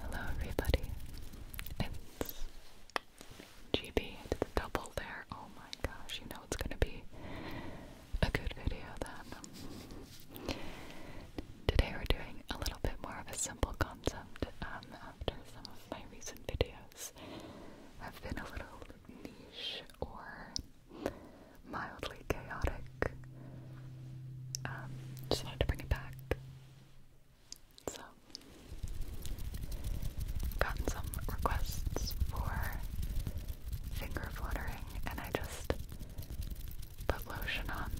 Hello, everybody. It's GB. It's double there. Oh my gosh, you know it's gonna be a good video then. Today we're doing a little bit more of a simple concept um, after some of my recent videos have been a little niche or mildly chaotic. Um, just wanted to bring it back. So, gotten some requests for finger fluttering, and I just put lotion on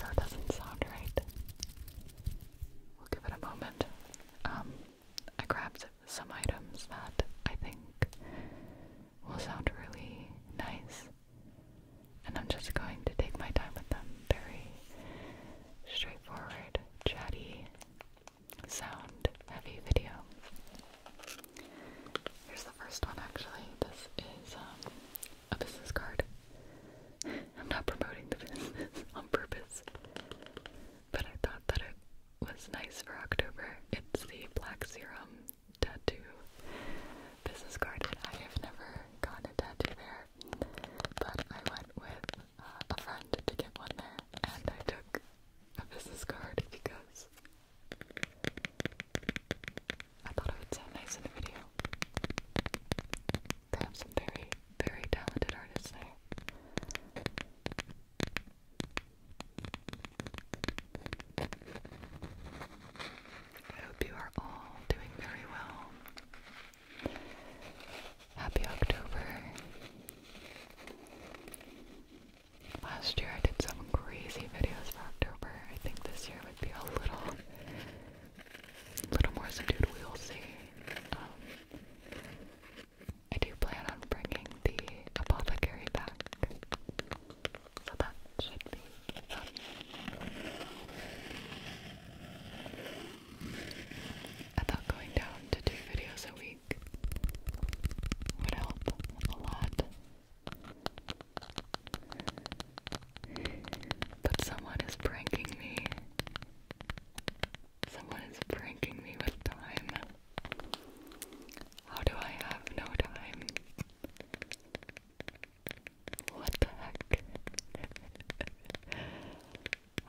so it doesn't sound right. We'll give it a moment. Um, I grabbed some items that I think will sound really nice. And I'm just going to take my time with them. Very straightforward, chatty, sound heavy video. Here's the first one actually. This is um, a business card. I'm not promoting the business on purpose, but I thought that it was nice for October. It's the Black Serum tattoo business card, I have never gotten a tattoo there, but I went with uh, a friend to get one there, and I took a business card because I thought it would sound nice in the video. They have some very, very talented artists there. I hope you are all doing very well. Happy October. Last year I did some crazy videos for October. I think this year would be a little, little more subdued. We'll see. Um, I do plan on bringing the apothecary back. So that should be fun. I thought going down to do videos a week would help a lot. But someone is pranking me. Someone is pranking me with time. How do I have no time? What the heck?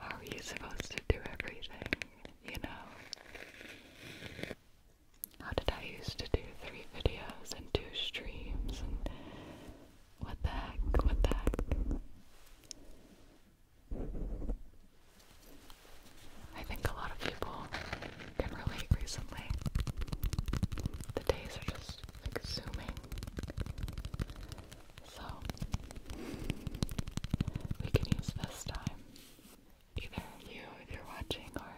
are you supposed to do everything, you know? How did I used to do three videos and two streams and what the heck, what the heck? I think a lot of people can relate recently. The days are just zooming, So, we can use this time. Either you, if you're watching, or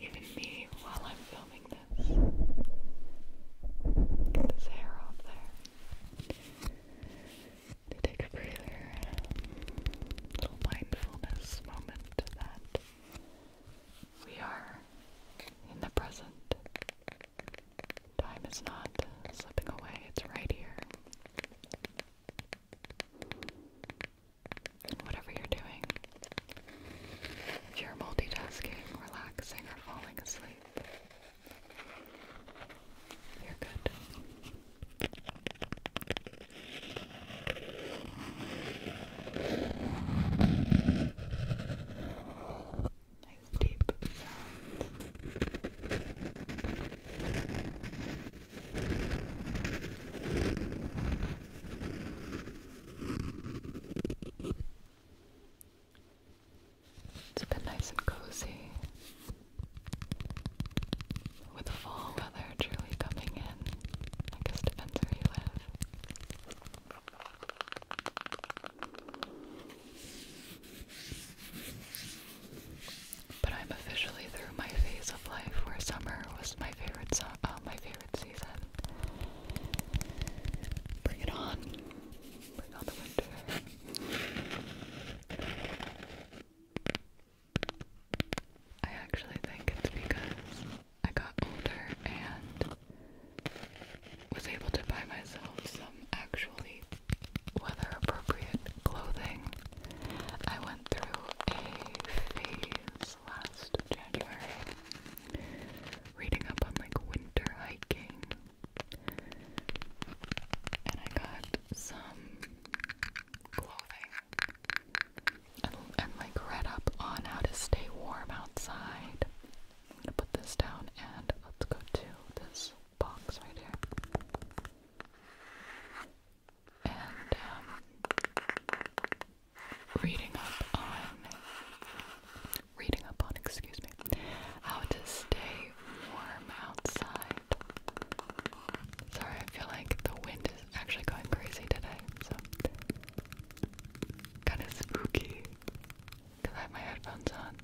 even me while I'm filming this. Get this hair off there. take a breather. Little mindfulness moment that we are in the present. Time is not slipping away, it's right here. Whatever you're doing, if you're multitasking, relaxing, or falling asleep, you're good. Nice deep sound. It's been nice and cozy. With fall weather truly coming in, I guess depends where you live. But I'm officially through my phase of life where summer was my favorite uh, my favorite season. Bring it on. Bring on the winter. I actually think it's because I got older and was able to buy myself some actually weather appropriate clothing. I went through a phase last January reading up on like winter hiking and I got some clothing and, like read up on how to stay warm outside. I'm gonna put this down and let's go to this box right here. And um, reading up on reading up on excuse me how to stay warm outside. Sorry, I feel like the wind is actually going crazy today, so kind of spooky because I have my headphones on,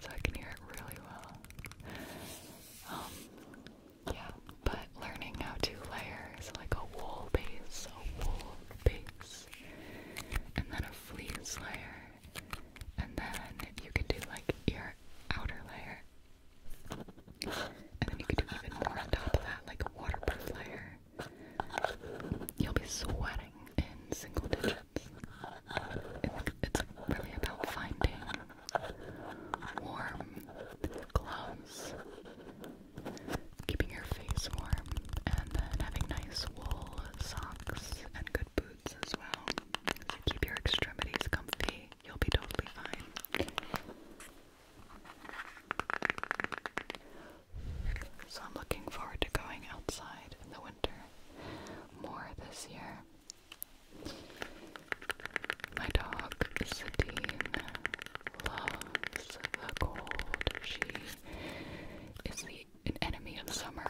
so I can hear it really well. Um, yeah, but learning how to layer is like a wool base, a wool base, and then a fleece layer, and then you can do like your outer layer, and then you can do even more on top of that, like a waterproof layer. You'll be sweating in single digits. It's, really about finding warm clothes, keeping your face warm, and then having nice wool socks and good boots as well. to keep your extremities comfy You'll be totally fine. So I'm looking forward to going outside in the winter more this year. My dog, Sadine, loves the cold. She is the an enemy of summer.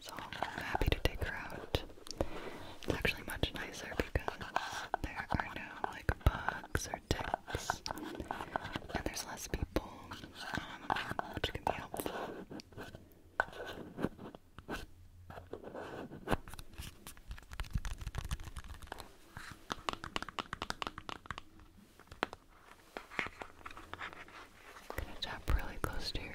So I'm happy to take her out. It's actually much nicer because there are no like bugs or ticks, and there's less people, um, which can be helpful. I'm gonna tap really close to your ear.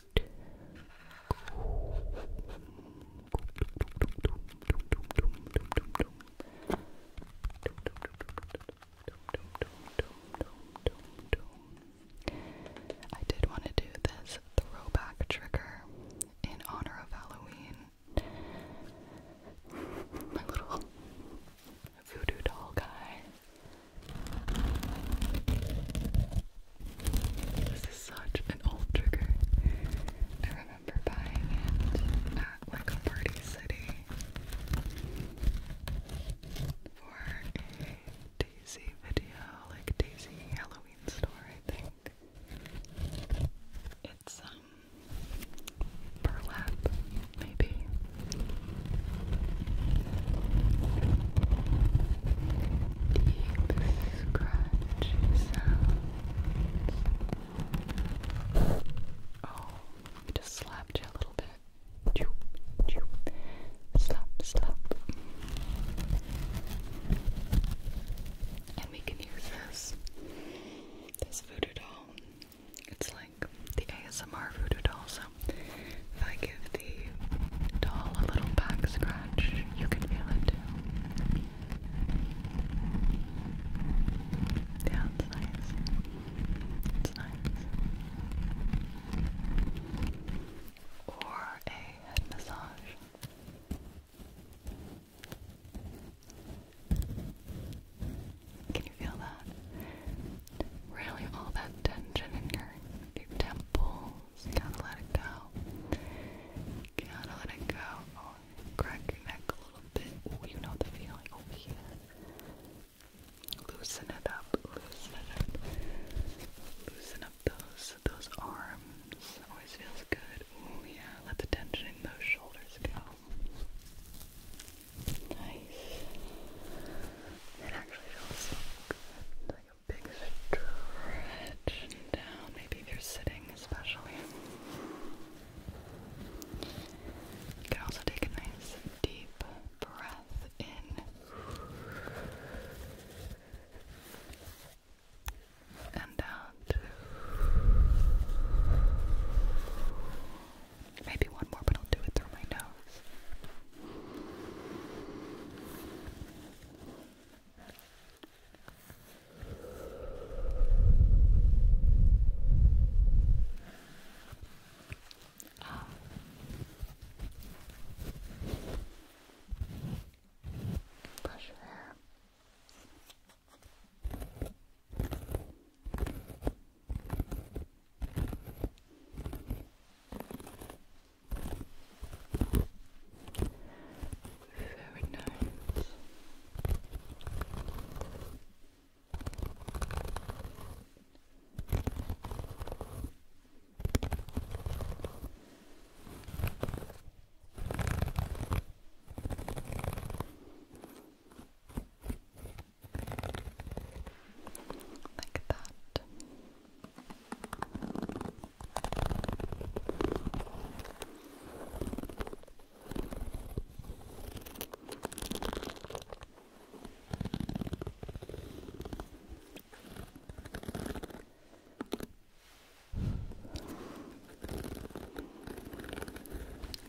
I did want to do this throwback trigger in honor of Halloween. My little voodoo doll guy. This is such an old trigger. I remember buying it at like a party city for a Daisy video, like Daisy Halloween store, I think. It's um burlap, maybe deep scratch sounds. Oh, I just slapped you a little bit. Slap, slap. And we can use this, this voodoo doll. It's like the ASMR voodoo doll. So if I give the dull, a little back scratch. You can feel it Yeah, it's nice. It's nice. Or a head massage. Can you feel that? Really, all that tension in your temple you got let it go. You got let it go. Oh, crack your neck a little bit. Oh, you know the feeling over here. Loosen it up. Loosen it up. Loosen up those those arms. Always feels good. Oh yeah. Let the tension in those shoulders go. Nice. It actually feels so good. Big stretch down, maybe if you're sitting especially. You can also take a nice deep breath in and out. Maybe one more, but I'll do it through my nose. Oh. 不是。very nice. Like that.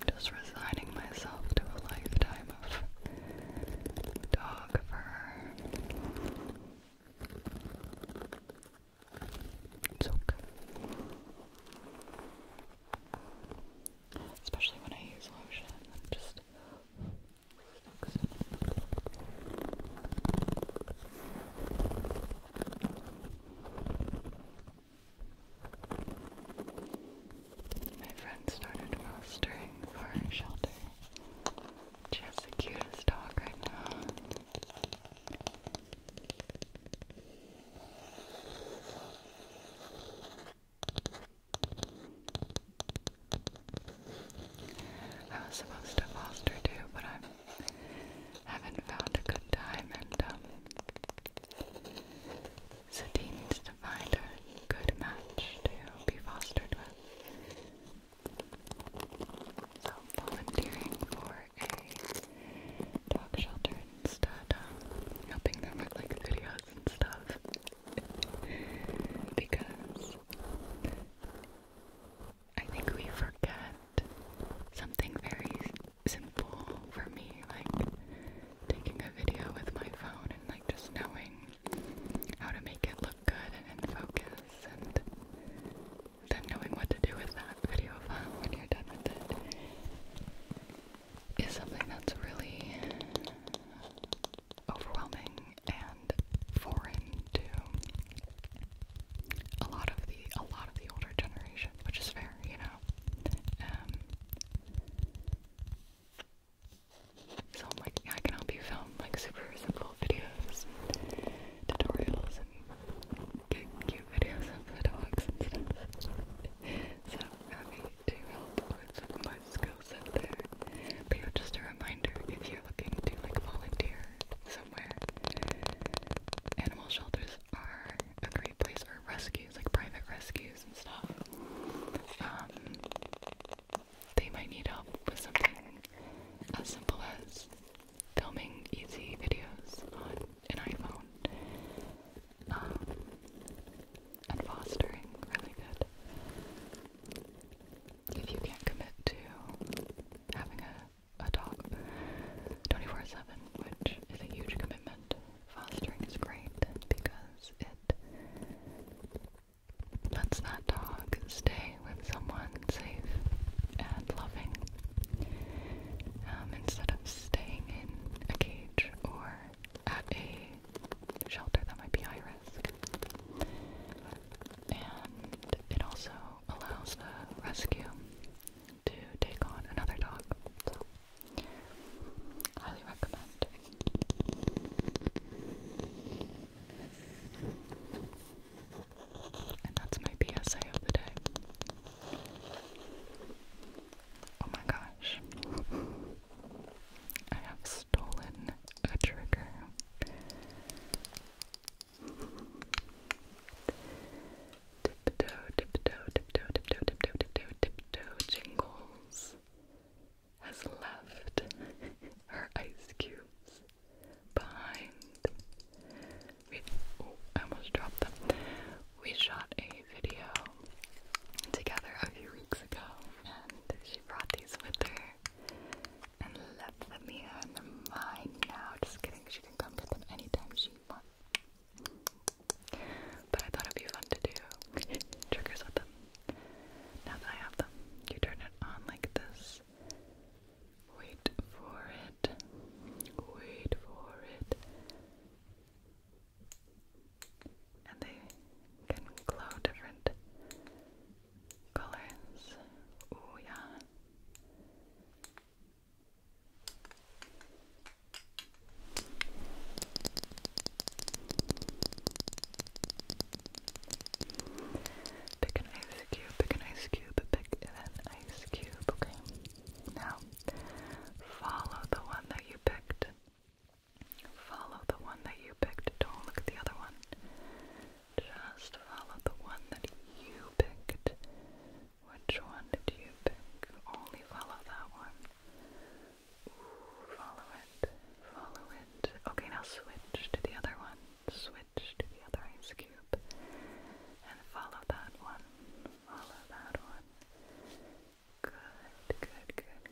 Just resigning myself to a lifetime of dog fur. It's okay. Especially when I use lotion, it just My friend started mastering for shelter. She has the cutest dog right now. I was supposed to foster too, but I haven't found a good time, and um, Sadie needs to find a good match to be fostered with. So volunteering for a dog shelter instead, helping them with like videos and stuff because I think we forget something very simple for me, like taking a video with my phone and like just knowing how to make it look good and in focus and than knowing what to do with that video file when you're done with it is something that's really overwhelming and foreign to a lot of the a lot of the older generation, which is fair, you know. Um, so I'm like, I can help you film um, like super simple videos, tutorials, and cute, videos of the dogs and stuff. so I'm happy to help with my skill set there. But just a reminder if you're looking to like volunteer somewhere, animal shelters are a great place for rescues, like private rescues and stuff. Um, they might need help with something as simple as filming easy videos on an iPhone um, and fostering really good. If you can't commit to having a, a dog 24-7, which is a huge commitment, fostering is great because it lets that dog stay with someone safe and loving um, instead of staying in a cage or at a shelter that might be high risk. And it also allows the rescue to take on another dog. So, highly recommend. And that's my PSA of the day. Oh my gosh. I have stolen a trigger. Tiptoe, tiptoe, tiptoe, tiptoe, tiptoe, tiptoe, tiptoe, jingles has left her ice cubes behind. We, I almost dropped them. We shot a video together a few weeks ago, and she brought these with her and left them here, in the are mine now. Just kidding, she can come with them anytime she wants. But I thought it'd be fun to do triggers with Now that I have them, you turn it on like this, Wait for it. Wait for it. And they can glow different colors. Oh, yeah. Pick an ice cube, pick an ice cube, pick an ice cube, okay? Now, follow the one that you picked. Follow the one that you picked. Don't look at the other one. Just follow the one that you picked. Which one did you pick? Only follow that one. follow it. Follow it. Okay, now switch to the other one switch to the other ice cube and follow that one. Follow that one. Good, good, good,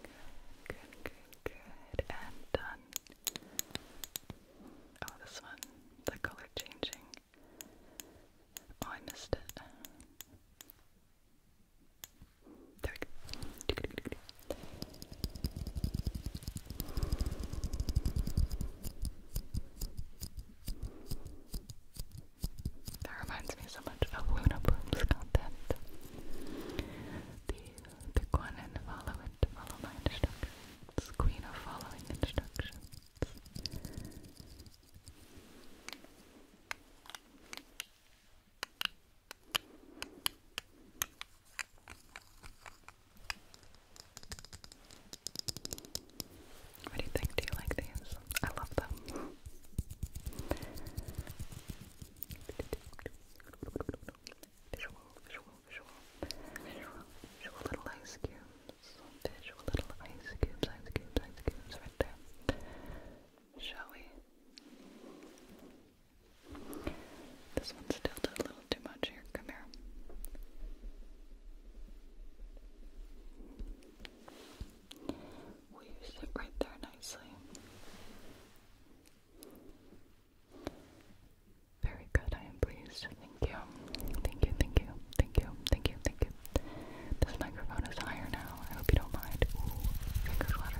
good, good, good, good. And done. Oh, this one, the color changing. Oh, I missed it. There we go. That reminds me so much of Luna Bloom's content. The pick one and follow it, follow my Queen of following instructions. What do you think? Do you like these? I love them. Visual, visual, visual, visual, visual little ice cubes. Visual little ice cubes, ice cubes, ice cubes right there. Shall we? This one's tilted a little too much here. Come here. Will you sit right there nicely? Very good, I am pleased. Thank you. Thank you, thank you, thank you, thank you, thank you. This microphone is higher now. I hope you don't mind. finger flutter.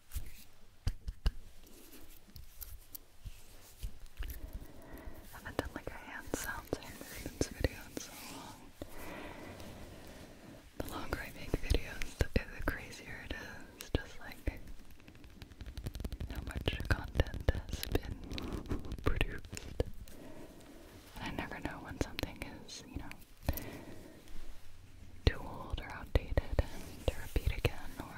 I haven't done like a hand sounds and video in so long. The longer I make videos, the, crazier it is. Just like how much content has been produced. I never know when something is, you know, too old or outdated and to repeat again, or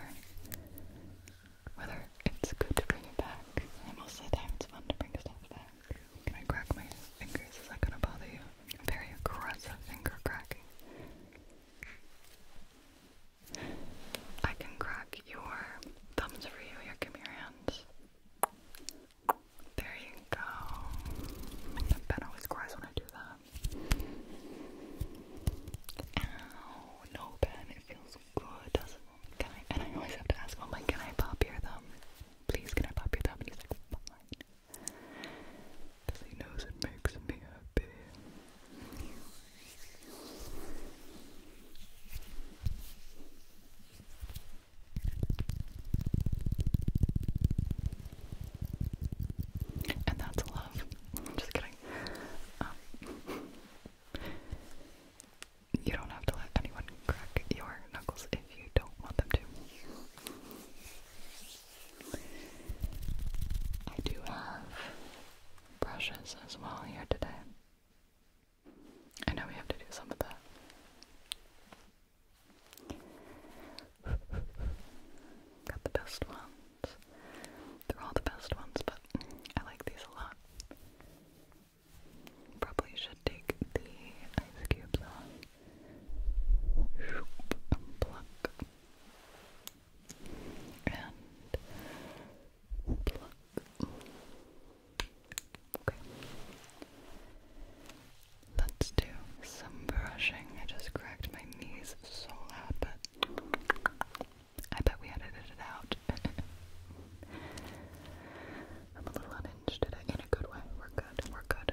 whether it's good to bring it back. And most of the time it's fun to bring stuff back. Can I crack my fingers? Is that gonna bother you? Very aggressive finger cracking. I can crack your thumbs for you. Here, give me your hands. There you go. Ben always cries when I do that. Ow, no Ben, it feels good, doesn't it? I, and I always have to ask, oh my, can I pop your thumb? Please, can I pop your thumb? And he's like, fine. Because he knows it makes me happy. And that's love. Just kidding. Um, you don't have to let anyone crack your knuckles if you don't want them to. I do have brushes as well here today. I know we have to do some of that. Got the best ones. They're all the best ones, but I like these a lot. Probably should take the ice cubes off. And Okay. Let's do some brushing. I just cracked my knees so loud, but I bet we edited it out. I'm a little unhinged today, in a good way. We're good, we're Good.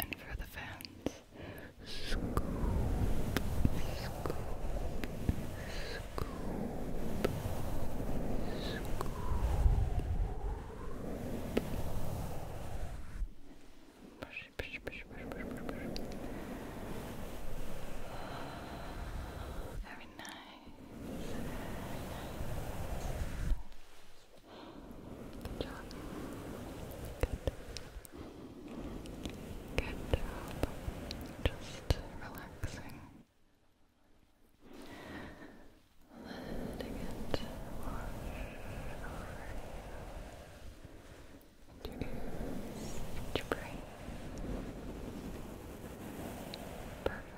And for the fans, scoop, Push, push, push, push, push, push, push. Very nice. Good job. Good. Good job. Just relaxing. Letting it wash over you. your ears, brain. Perfect.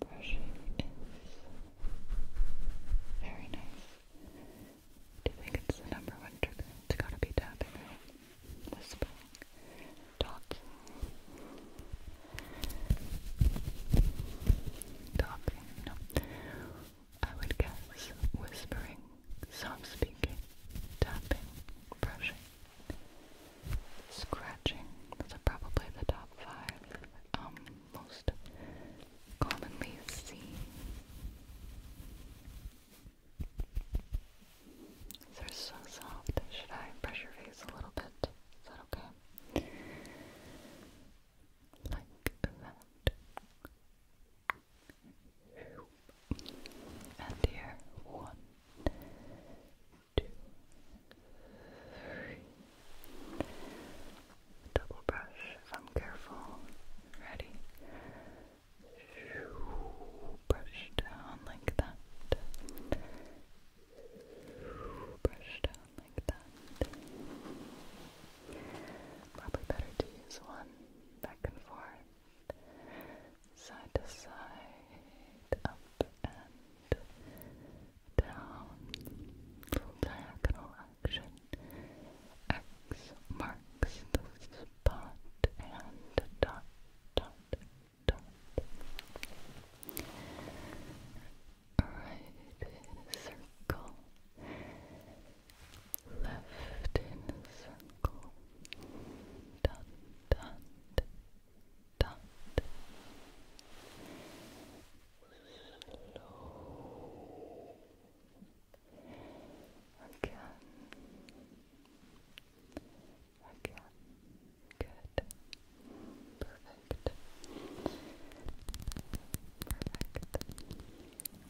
The brushing is very nice. Do you think it's the number one trigger? It's gotta be tapping, Whispering, talking, talking. No, I would guess whispering, soft speaking, tapping, brushing. Scratching. Those are probably the top five um, most commonly seen. They're so soft. Should I brush your face a little bit? Is that okay? Like that and here one, two, three. Double brush if I'm careful. Ready? Brush down like that. Brush down like that. Probably better to use one back and forth side to side, up and down, diagonal action. X marks the spot and dot, dot, dot. Right in a circle, left in a circle, dot, dot, dot low again again good perfect perfect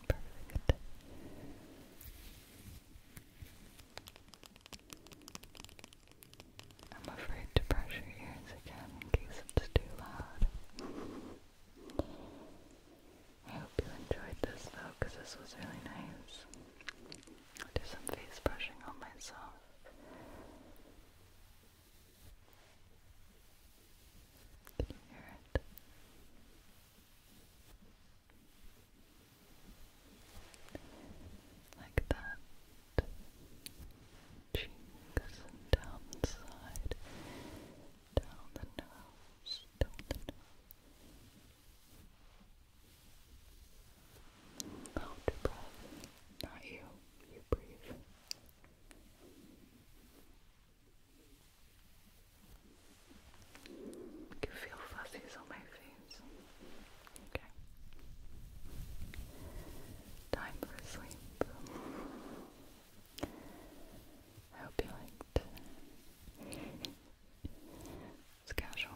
perfect I'm afraid to brush your ears again in case it's too loud. I hope you enjoyed this though, because this was really nice. I'll do some face brushing on myself. Can it? Like that. Cheeks down the side, down the nose, down the nose. Out breath, not you. You breathe. can feel fuzzies on my face. Okay. Time for sleep. I hope you liked. It's casual,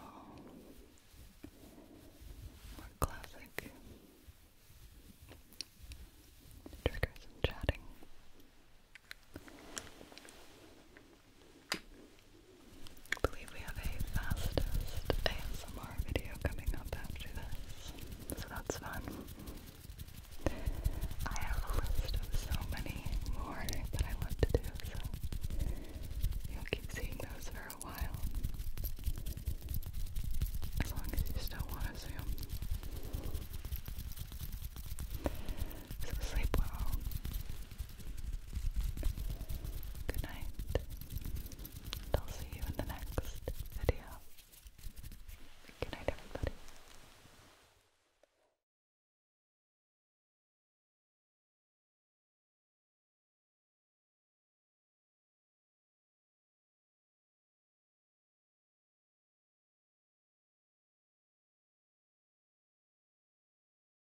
more classic. Trigger some chatting. I believe we have a fastest ASMR video coming up after this, so that's fun. I have a list of so many more that I love to do, so you'll keep seeing those for a while. As long as you still want to see them. So sleep well. Good night. I'll see you in the next video. Good night, everybody.